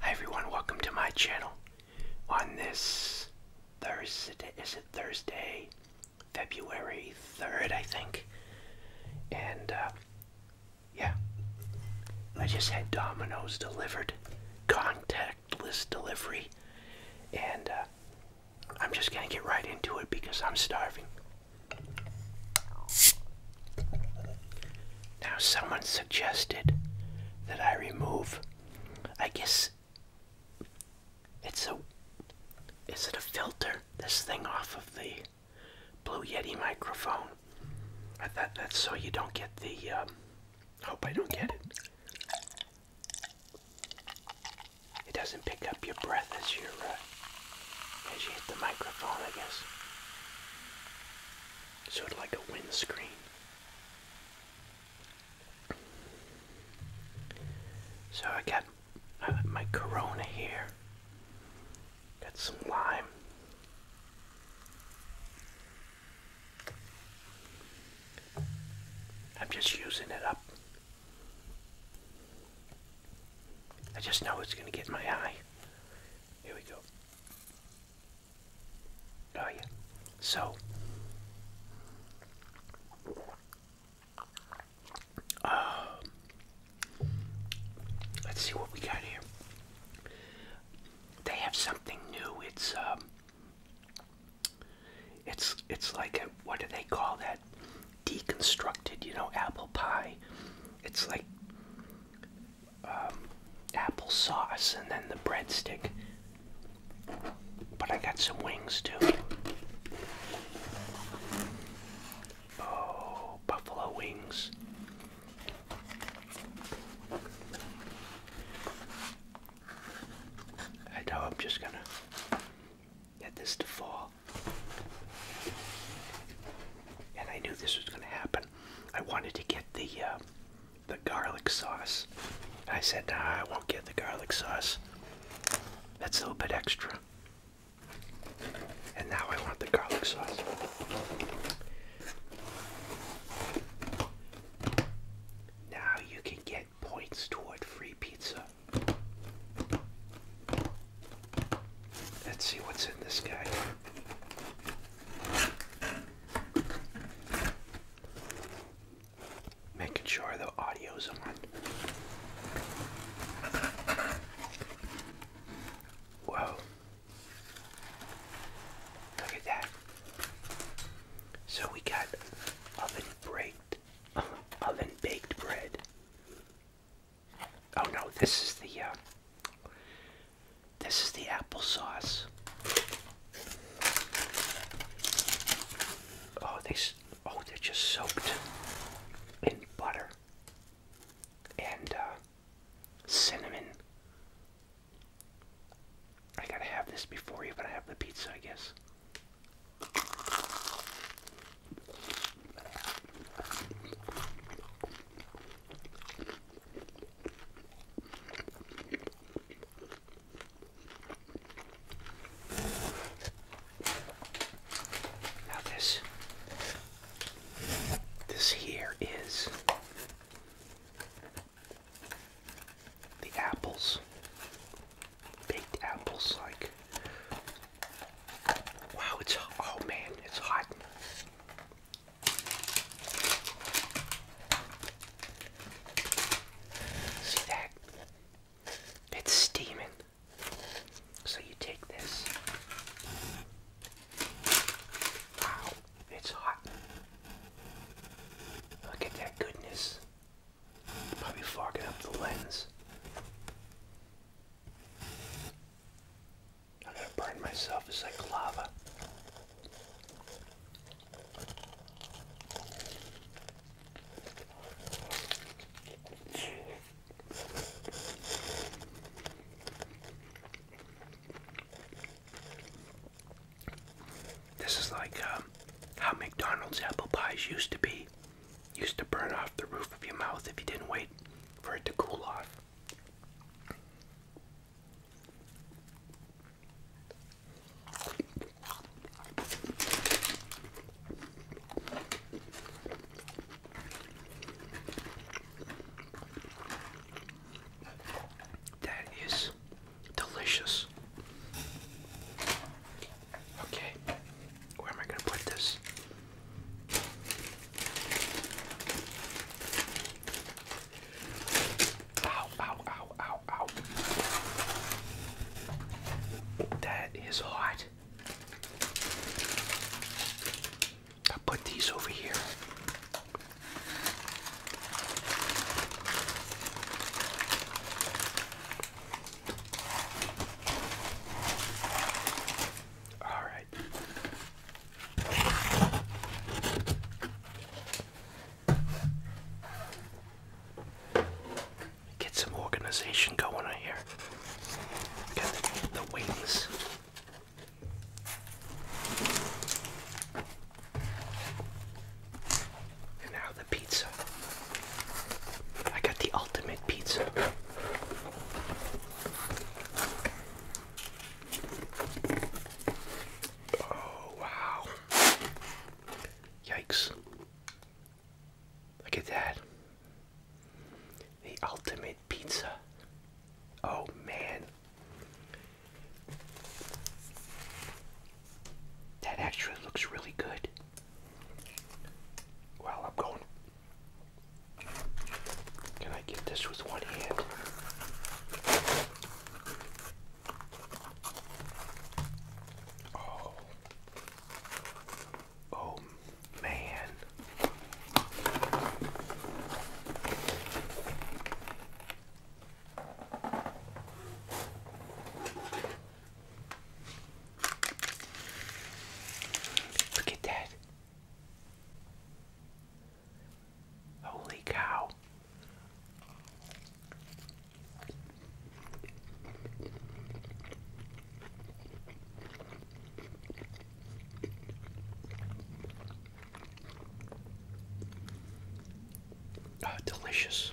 Hi everyone, welcome to my channel. On this Thursday, is it Thursday, February 3rd, I think. And uh, yeah, I just had Domino's delivered, contactless delivery. And uh, I'm just gonna get right into it because I'm starving. Now, someone suggested that I remove, I guess it's a, is it a filter? This thing off of the Blue Yeti microphone. I that's so you don't get the, um, hope I don't get it. It doesn't pick up your breath as you're, uh, as you hit the microphone, I guess sort of like a windscreen. So I got my Corona here. Got some lime. I'm just using it up. I just know it's going to get my eye. Here we go. Oh yeah. So um, let's see what we got here. They have something new. It's um it's it's like a what do they call that? Deconstructed, you know, apple pie. It's like um, applesauce and then the breadstick. But I got some wings too. Oh, buffalo wings. I know I'm just gonna get this to fall. And I knew this was gonna happen. I wanted to get the uh, the garlic sauce. I said, nah, I won't get the garlic sauce. That's a little bit extra. And now I want the garlic sauce. Now you can get points toward free pizza. Let's see what's in this guy. Making sure the audio's on. Whoa. Look at that. So we got oven baked, oven baked bread. Oh no, this is the uh, this is the applesauce. Oh, they oh they're just soaked in butter and uh, cinnamon. I gotta have this before you, I have the pizza, I guess. Now this this here is the apples. Baked apples like Wow, it's oh man, it's hot. See that? It's steaming. So you take this. Wow, it's hot. Look at that goodness. Probably fogging up the lens. I'm gonna burn myself. It's like lava. This is like um, how McDonald's apple pies used to be. Used to burn off the roof of your mouth if you didn't wait for it to cool off. That is delicious. Okay, where am I going to put this? Ow, ow, ow, ow, ow. That is hot. i put these over here. All right. Get some organization going on here. Got the wings. And now the pizza. I got the ultimate pizza. Oh, wow. Yikes. Look at that. The ultimate pizza. Oh, man. That actually looks really good. Well, I'm going can I get this with one hand? Oh. Oh man. Look at that. Holy cow. Ah, delicious.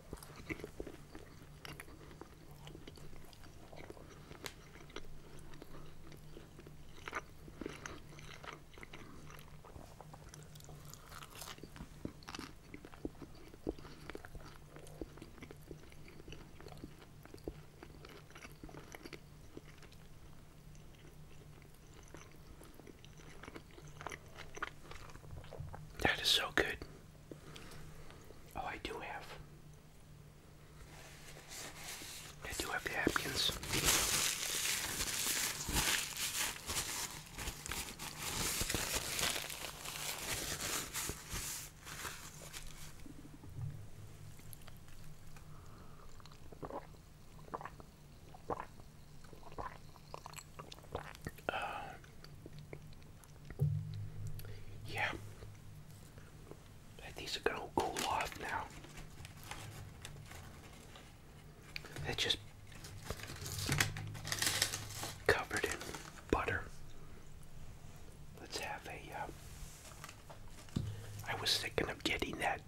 That is so good. Oh, I do have. I do have napkins. Uh, yeah. These are going to cool off now. They're just covered in butter. Let's have a. Uh, I was thinking of getting that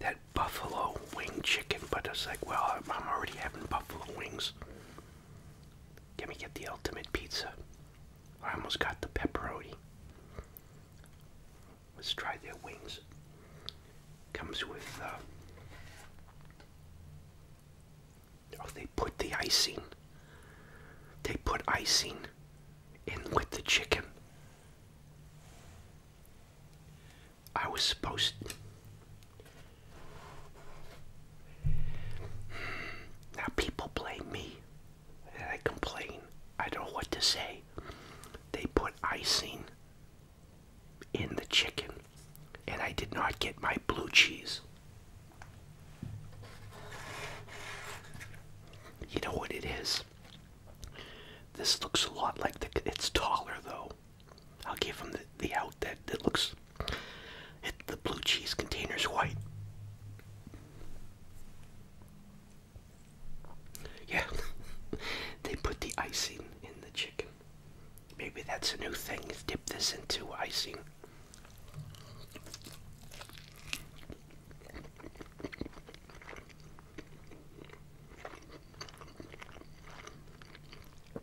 that buffalo wing chicken, but it's like, well, I'm already having buffalo wings. Let me get the ultimate pizza? I almost got the pepperoni. Let's try their wings. Comes with, uh, oh, they put the icing. They put icing in with the chicken. I was supposed to. Now people blame me and I complain. I don't know what to say. They put icing in the chicken and I did not get my blue cheese. You know what it is? This looks a lot like the. It's taller though. I'll give him the, the out that it looks. the blue cheese container's white. Yeah, they put the icing in the chicken. Maybe that's a new thing. Dip this into icing.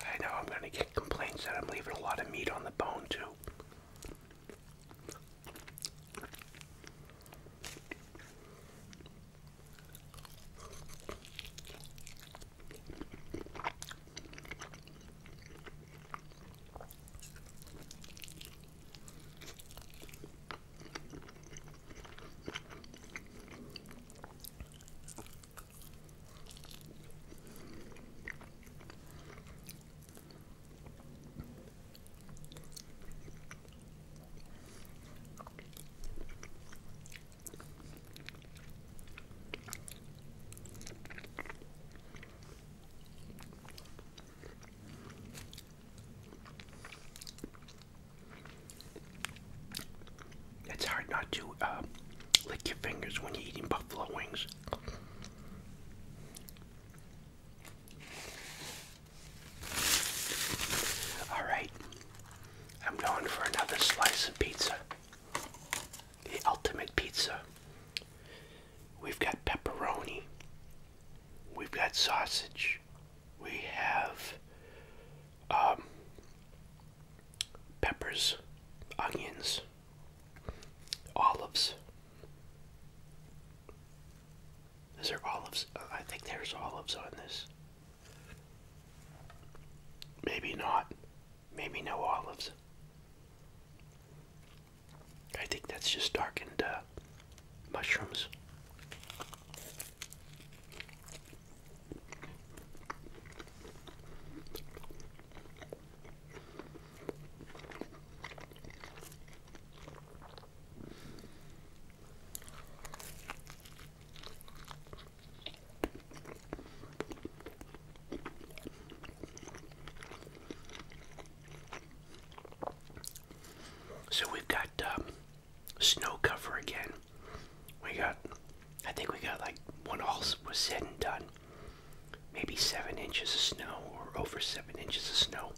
I know I'm gonna get complaints that I'm leaving a lot of meat on the bone too. It's hard not to uh, lick your fingers when you're eating buffalo wings. All right, I'm going for another slice of pizza. The ultimate pizza. We've got pepperoni. We've got sausage. We have um, peppers, onions, Olives. Is there olives? I think there's olives on this. Maybe not. Maybe no olives. I think that's just darkened uh, mushrooms. So we've got um, snow cover again. We got, I think we got like when all was said and done, maybe seven inches of snow or over seven inches of snow.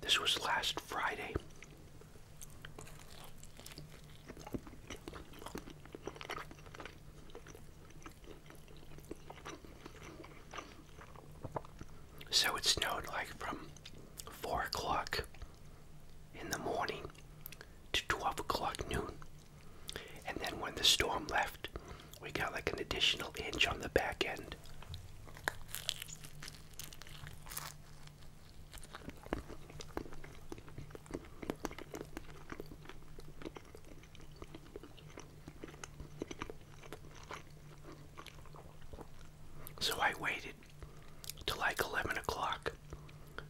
This was last Friday. So it snowed like from 4 o'clock in the morning to 12 o'clock noon. And then when the storm left, we got like an additional inch on the back end. So I waited till like 11 o'clock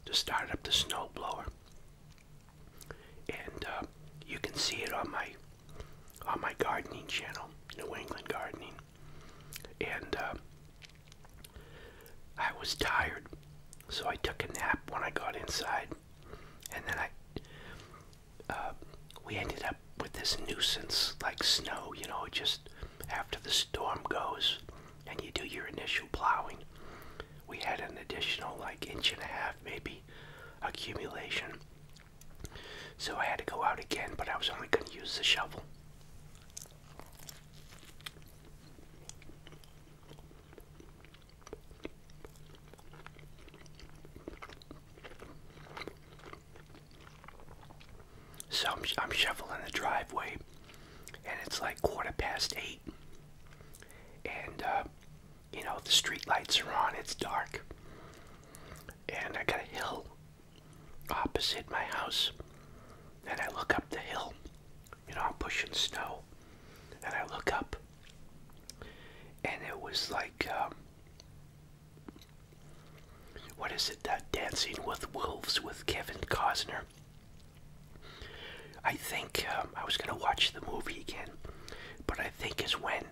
to start up the snowblower. And uh, you can see it on my on my gardening channel, New England Gardening. And uh, I was tired, so I took a nap when I got inside and then I, uh, we ended up with this nuisance like snow, you know, just after the storm goes and you do your initial plowing. We had an additional like inch and a half maybe accumulation. So I had to go out again, but I was only going to use the shovel. So I'm, i shoveling the driveway, and it's like quarter past eight. And, uh, you know, the streetlights are on, it's dark. And I got a hill opposite my house. And I look up the hill. You know, I'm pushing snow. And I look up, and it was like um, what is it that Dancing with Wolves with Kevin Costner. I think um, I was gonna watch the movie again, but I think is when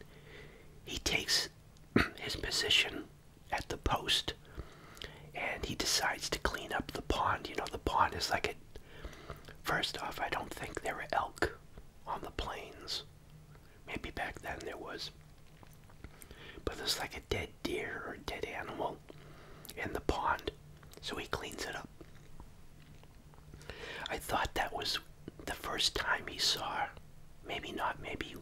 he takes his position at the post and he decides to clean up the pond. You know, the pond is like it. First off, I don't think there were elk on the plains. Maybe back then there was. But there's like a dead deer or dead animal in the pond, so he cleans it up. I thought that was the first time he saw, maybe not, maybe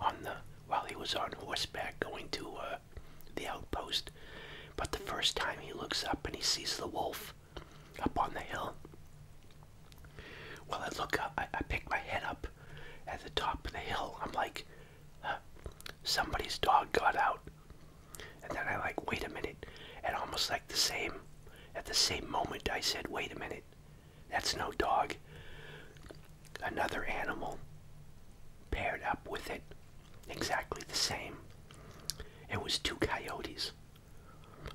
on the while he was on horseback going to uh, the outpost, but the first time he looks up and he sees the wolf up on the hill. while I look up, uh, I, pick my head up at the top of the hill. I'm like, somebody's dog got out. And then I like, wait a minute. And almost like the same, at the same moment, I said, wait a minute. That's no dog. Another animal paired up with it, exactly the same. It was two coyotes.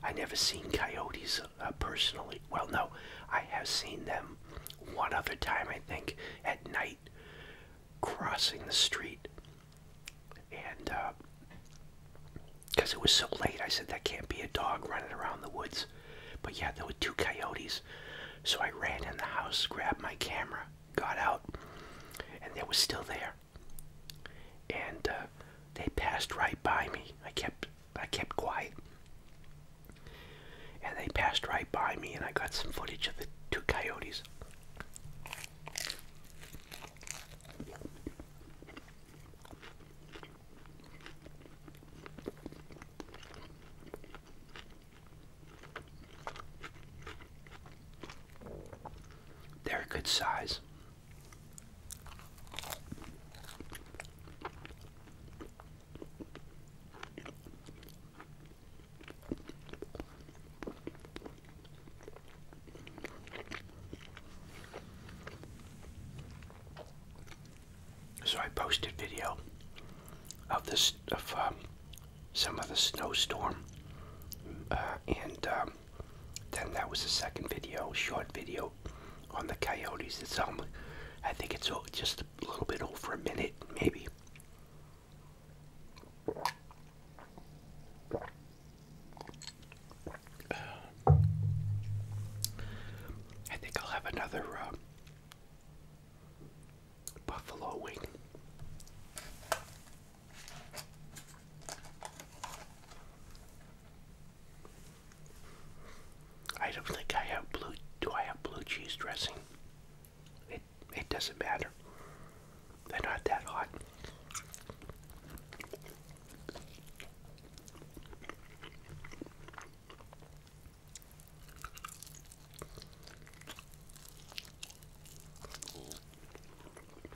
I never seen coyotes uh, personally. Well, no, I have seen them one other time, I think, at night crossing the street. And because uh, it was so late, I said, that can't be a dog running around the woods. But yeah, there were two coyotes. So I ran in the house, grabbed my camera, got out, and they were still there and uh, they passed right by me. I kept I kept quiet, and they passed right by me, and I got some footage of the two coyotes. They're a good size. So I posted video of this of um, some of the snowstorm uh, and um, then that was the second video, short video on the coyotes. It's um, I think it's just a little bit over a minute, maybe. I think I'll have another uh, buffalo wing. I don't think I have blue. Do I have blue cheese dressing? It it doesn't matter. They're not that hot.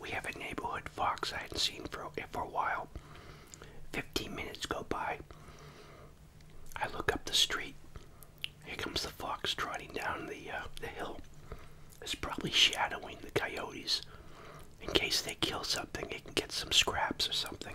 We have a neighborhood fox I had seen for, eh, for a while. Fifteen minutes go by. I look up the street. Here comes the fox trotting down the, uh, the hill. It's probably shadowing the coyotes. In case they kill something, it can get some scraps or something.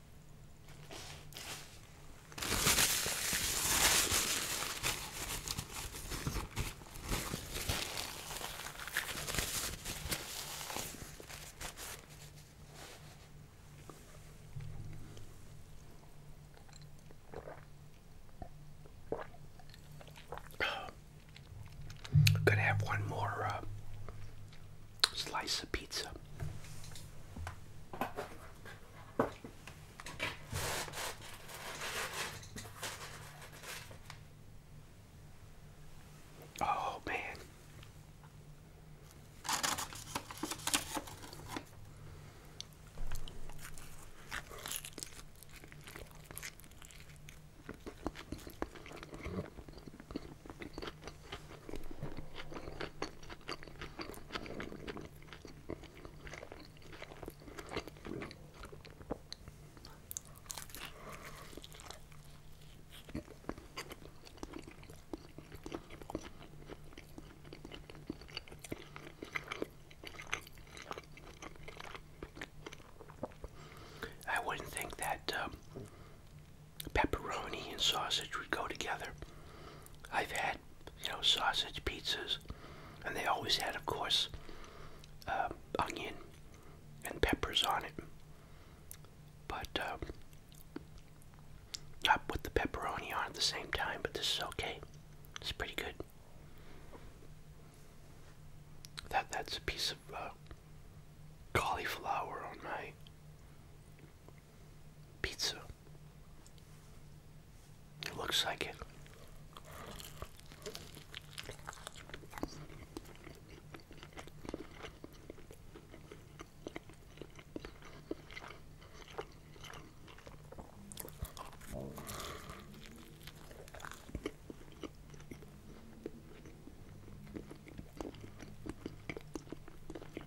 Gonna have one more uh, slice of pizza. Oh man. I wouldn't think that um, pepperoni and sausage would go together. I've had, you know, sausage pizzas, and they always had, of course, uh, onion and peppers on it. But uh, not with the pepperoni on at the same time, but this is okay. It's pretty good. That that's a piece of uh, cauliflower on my Pizza. It looks like it.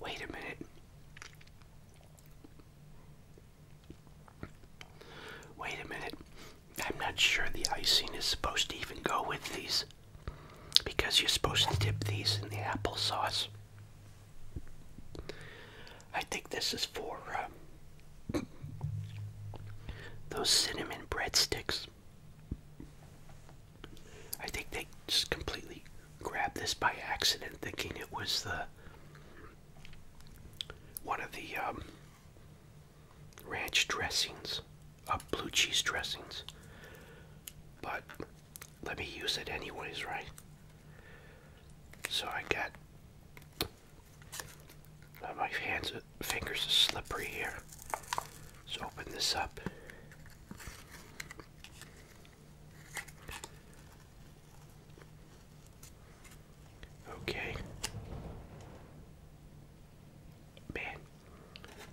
Wait a minute. Wait a minute. I'm not sure the icing is supposed to even go with these because you're supposed to dip these in the applesauce. I think this is for uh, those cinnamon breadsticks. I think they just completely grabbed this by accident, thinking it was the one of the um, ranch dressings, uh, blue cheese dressings. But let me use it anyways, right? So I got uh, my hands fingers are slippery here. Let's open this up. Okay. Man,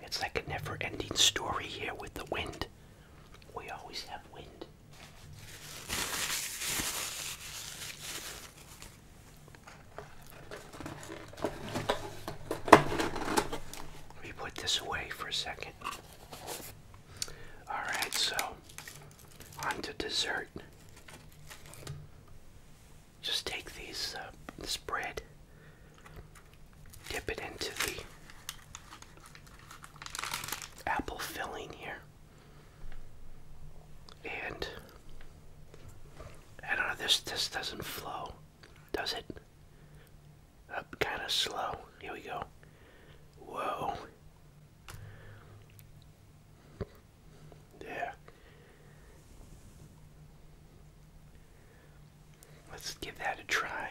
it's like a never ending story here with the wind. We always have wind. Let me put this away for a second. Alright, so on to dessert. Just take these, uh, this bread, dip it into the apple filling here. And I do uh, this this doesn't flow does it? Up kind of slow. Here we go. Whoa. There. Let's give that a try.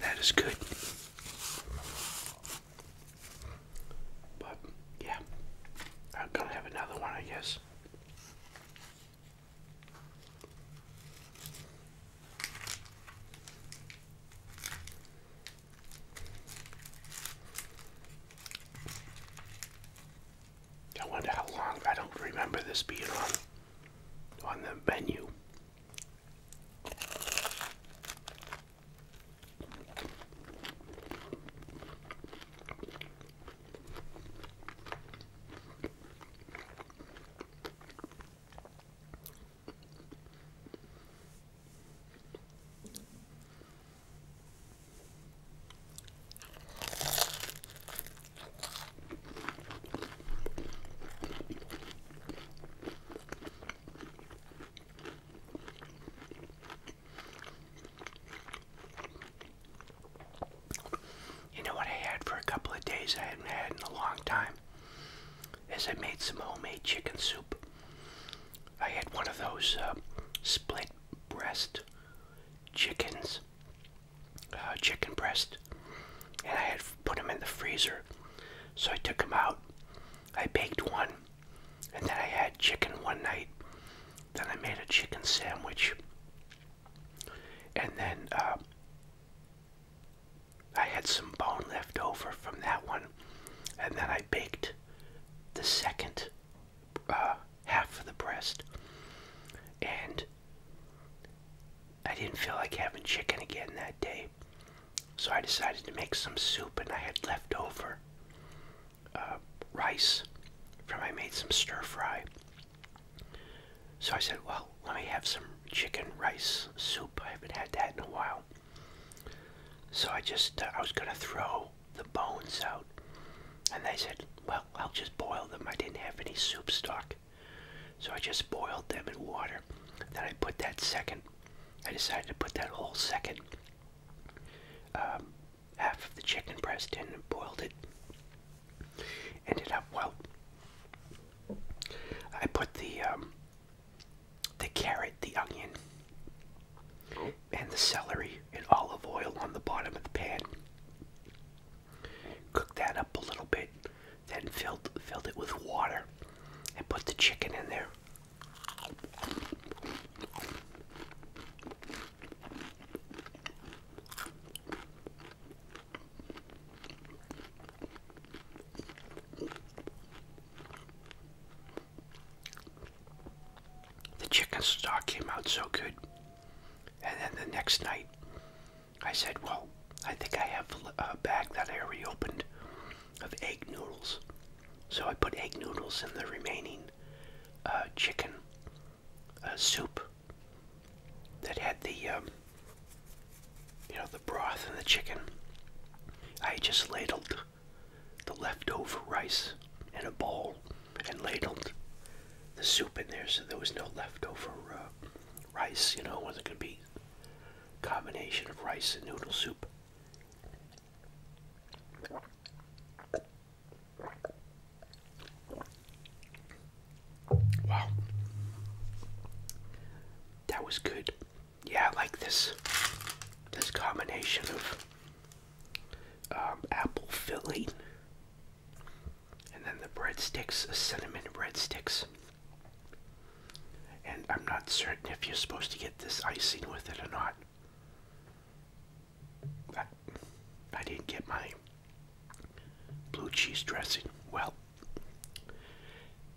That is good. But yeah, I'm gonna have another one, I guess. I wonder how long. I don't remember this being on on the menu. You know what I had for a couple of days I hadn't had in a long time? As I made some homemade chicken soup. I had one of those uh, split breast chickens, uh, chicken breast, and I had put them in the freezer. So I took them out. I baked one, and then I had chicken one night. Then I made a chicken sandwich, and then uh, I had some bone left over from that one, and then I baked the second uh, half of the breast, and I didn't feel like having chicken again that day, so I decided to make some soup, and I had leftover uh, rice from I made some stir fry. So I said, well, let me have some chicken rice soup. I haven't had that in a while. So I just, uh, I was going to throw the bones out. And I said, well, I'll just boil them. I didn't have any soup stock. So I just boiled them in water. Then I put that second, I decided to put that whole second um, half of the chicken breast in and boiled it. Ended up, well, I put the, um, the carrot, the onion, and the celery and olive oil on the bottom of the pan. Cook that up a little bit, then filled filled it with water and put the chicken in there. The chicken stock came out so good. And then the next night, I said, Well, I think I have a bag that I already opened of egg noodles. So I put egg noodles in the remaining uh, chicken uh, soup that had the, um, you know, the broth and the chicken. I just ladled the leftover rice in a bowl and ladled the soup in there so there was no leftover uh, rice, you know, it wasn't going to be combination of rice and noodle soup. Wow. That was good. Yeah, I like this. This combination of um, apple filling, and then the breadsticks, cinnamon breadsticks. And I'm not certain if you're supposed to get this icing with it or not. I, I didn't get my blue cheese dressing. Well,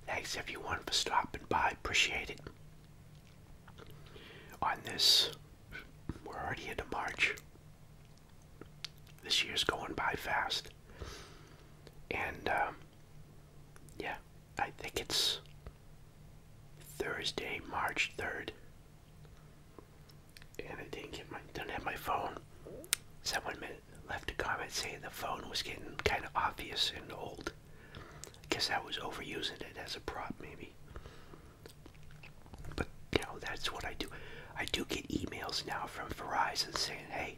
thanks everyone for stopping by. Appreciate it on this. We're already into March. This year's going by fast. And, um, yeah, I think it's Thursday, March 3rd. And I didn't get my, didn't have my phone. Someone left a comment saying the phone was getting kind of obvious and old. guess I was overusing it as a prop, maybe. But you know, that's what I do. I do get emails now from Verizon saying, "Hey,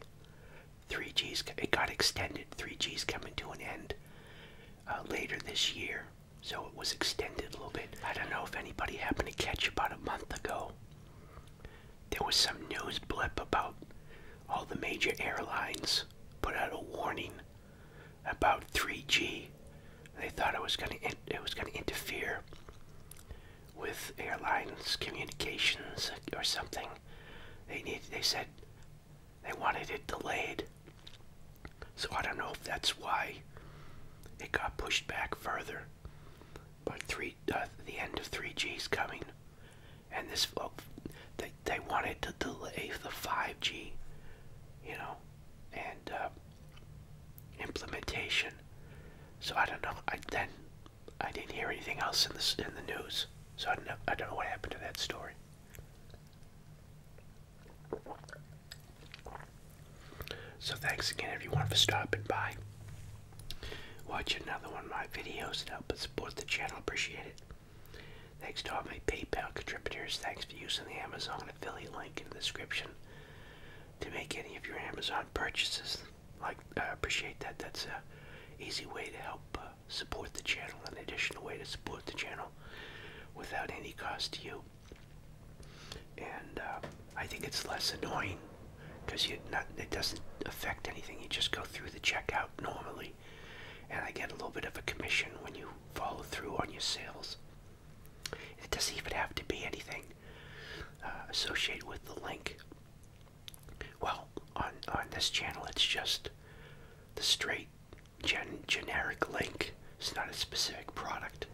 3G's it got extended. 3G's coming to an end uh, later this year, so it was extended a little bit." I don't know if anybody happened to catch about a month ago. There was some news blip about all the major airlines put out a warning about 3G. They thought it was going to it was going to interfere with airlines communications or something. They need they said they wanted it delayed. So I don't know if that's why it got pushed back further. But three uh, the end of 3G is coming, and this oh, they they wanted to delay the 5G, you know, and. Uh, implementation. So I don't know. I then I didn't hear anything else in this in the news. So I don't know. I don't know what happened to that story. So thanks again everyone for stopping by. Watch another one of my videos and help support the channel. Appreciate it. Thanks to all my PayPal contributors. Thanks for using the Amazon affiliate link in the description to make any of your Amazon purchases. Like, I appreciate that. That's a easy way to help uh, support the channel, an additional way to support the channel without any cost to you. And uh, I think it's less annoying because it doesn't affect anything. You just go through the checkout normally, and I get a little bit of a commission when you follow through on your sales. It doesn't even have to be anything uh, associated with the link. Well, on on this channel, it's just the straight gen generic link. It's not a specific product,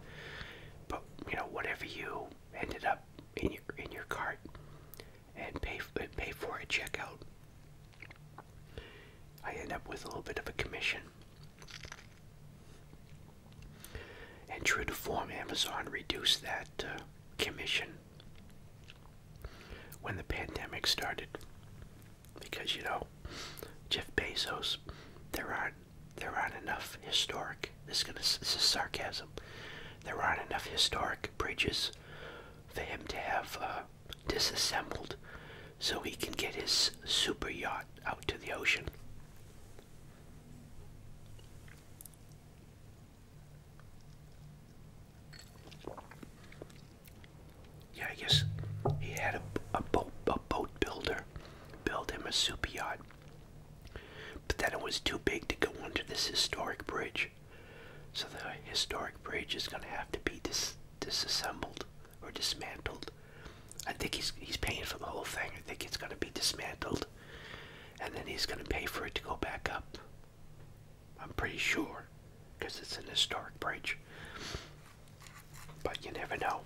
but you know whatever you ended up in your in your cart and pay and pay for at checkout, I end up with a little bit of a commission. And true to form, Amazon reduced that uh, commission when the pandemic started. Because, you know, Jeff Bezos, there aren't, there aren't enough historic, this is, sarcasm, there aren't enough historic bridges for him to have uh, disassembled so he can get his super yacht out to the ocean. Yeah, I guess he had a, a boat a boat builder build him a super yacht, but then it was too big to go under this historic bridge. So the historic bridge is going to have to be dis disassembled or dismantled. I think he's he's paying for the whole thing. I think it's going to be dismantled, and then he's going to pay for it to go back up. I'm pretty sure, because it's an historic bridge. But you never know.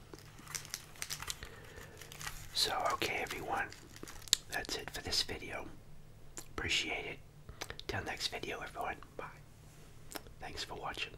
So, okay, everyone, that's it for this video. Appreciate it. Till next video, everyone. Bye. Thanks for watching.